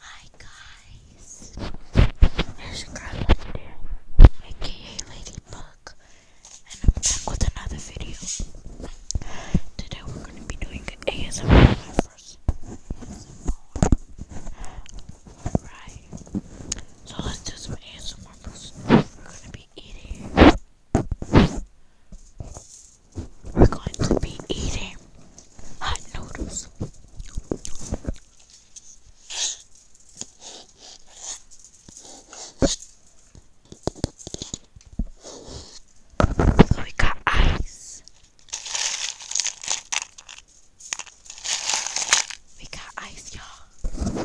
Hi guys, here's your girl London, aka Ladybug, and I'm back with another video. Today we're gonna be doing ASMR, first ASMR. so let's do some ASMR first. We're gonna be eating. We're going to be eating hot noodles. So we got ice. We got ice, y'all.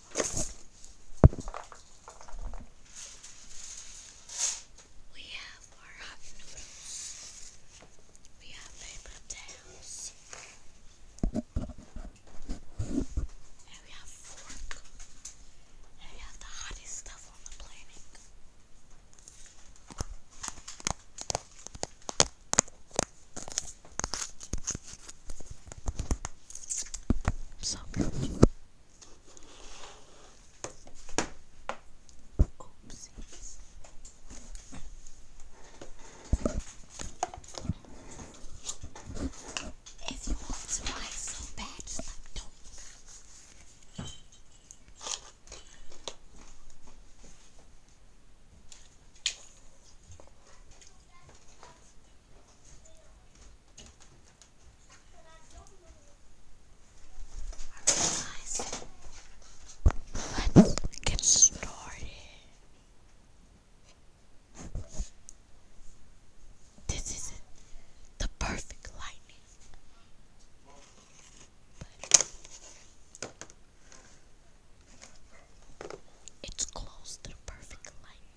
We have our hot noodles. We have paper towels. And we have fork. And we have the hottest stuff on the planet. So cute. Oopsies. If you want to buy so bad, just like don't let's get started. This is the perfect lightning. it's close to the perfect lightning.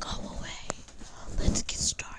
Go away. Let's get started.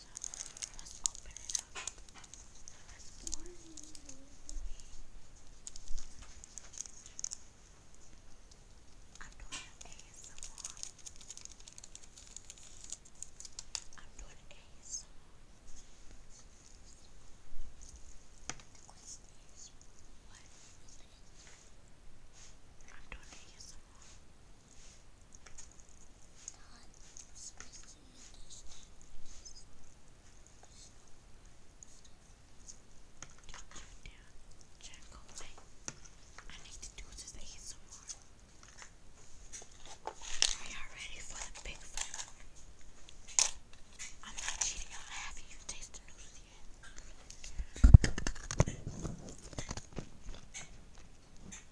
Let's open it up. Let's pour I'm doing ASMR. I'm doing ASMR. The question is, what? I'm doing ASMR. I need to do this to get some more. Are y'all ready for the big fight? I'm not cheating y'all. I haven't even tasted noodles yet.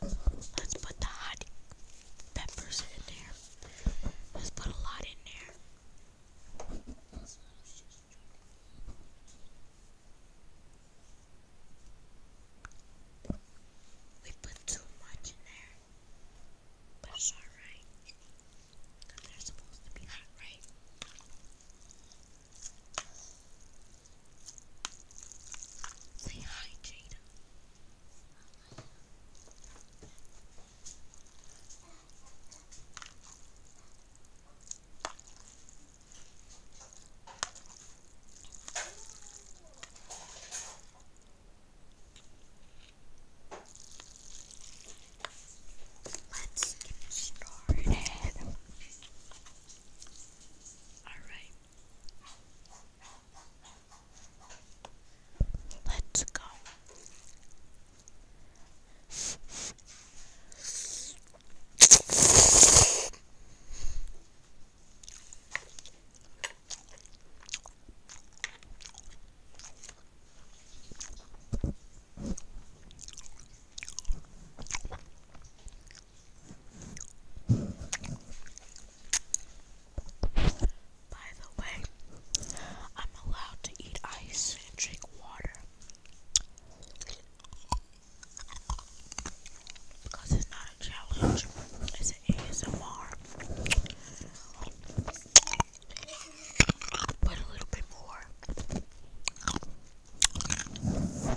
Let's put the hot peppers in there. Let's put a lot in there. We put too much in there, but it's alright. they're supposed to be hot, right? Say hi, Jada. Let's get started. Alright. Let's go. By the way, I'm allowed to eat ice and drink water because it's not a challenge, it's an ASMR. But a little bit more.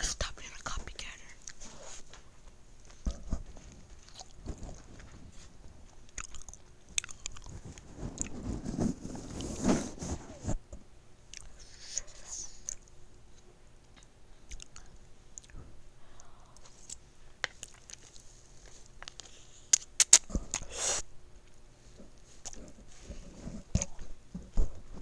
Stop being a copycatter.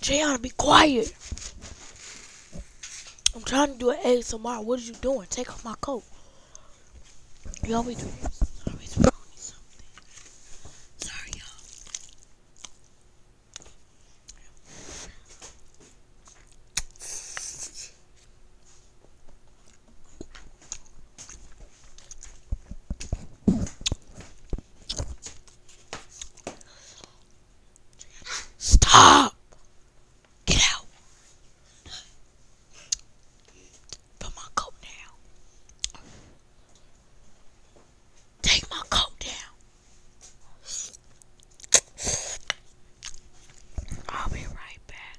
JR, be quiet. I'm trying to do an ASMR. What are you doing? Take off my coat. You always do this. Sorry, y'all. Stop! Get out! Put my coat down. Take my coat down. I'll be right back.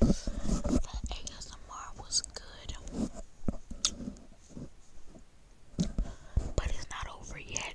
That ASMR was good, but it's not over yet.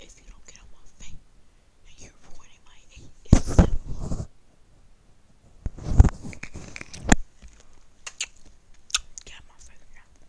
If you don't get on my face, then you're ruining my ASMR. Get on my face now.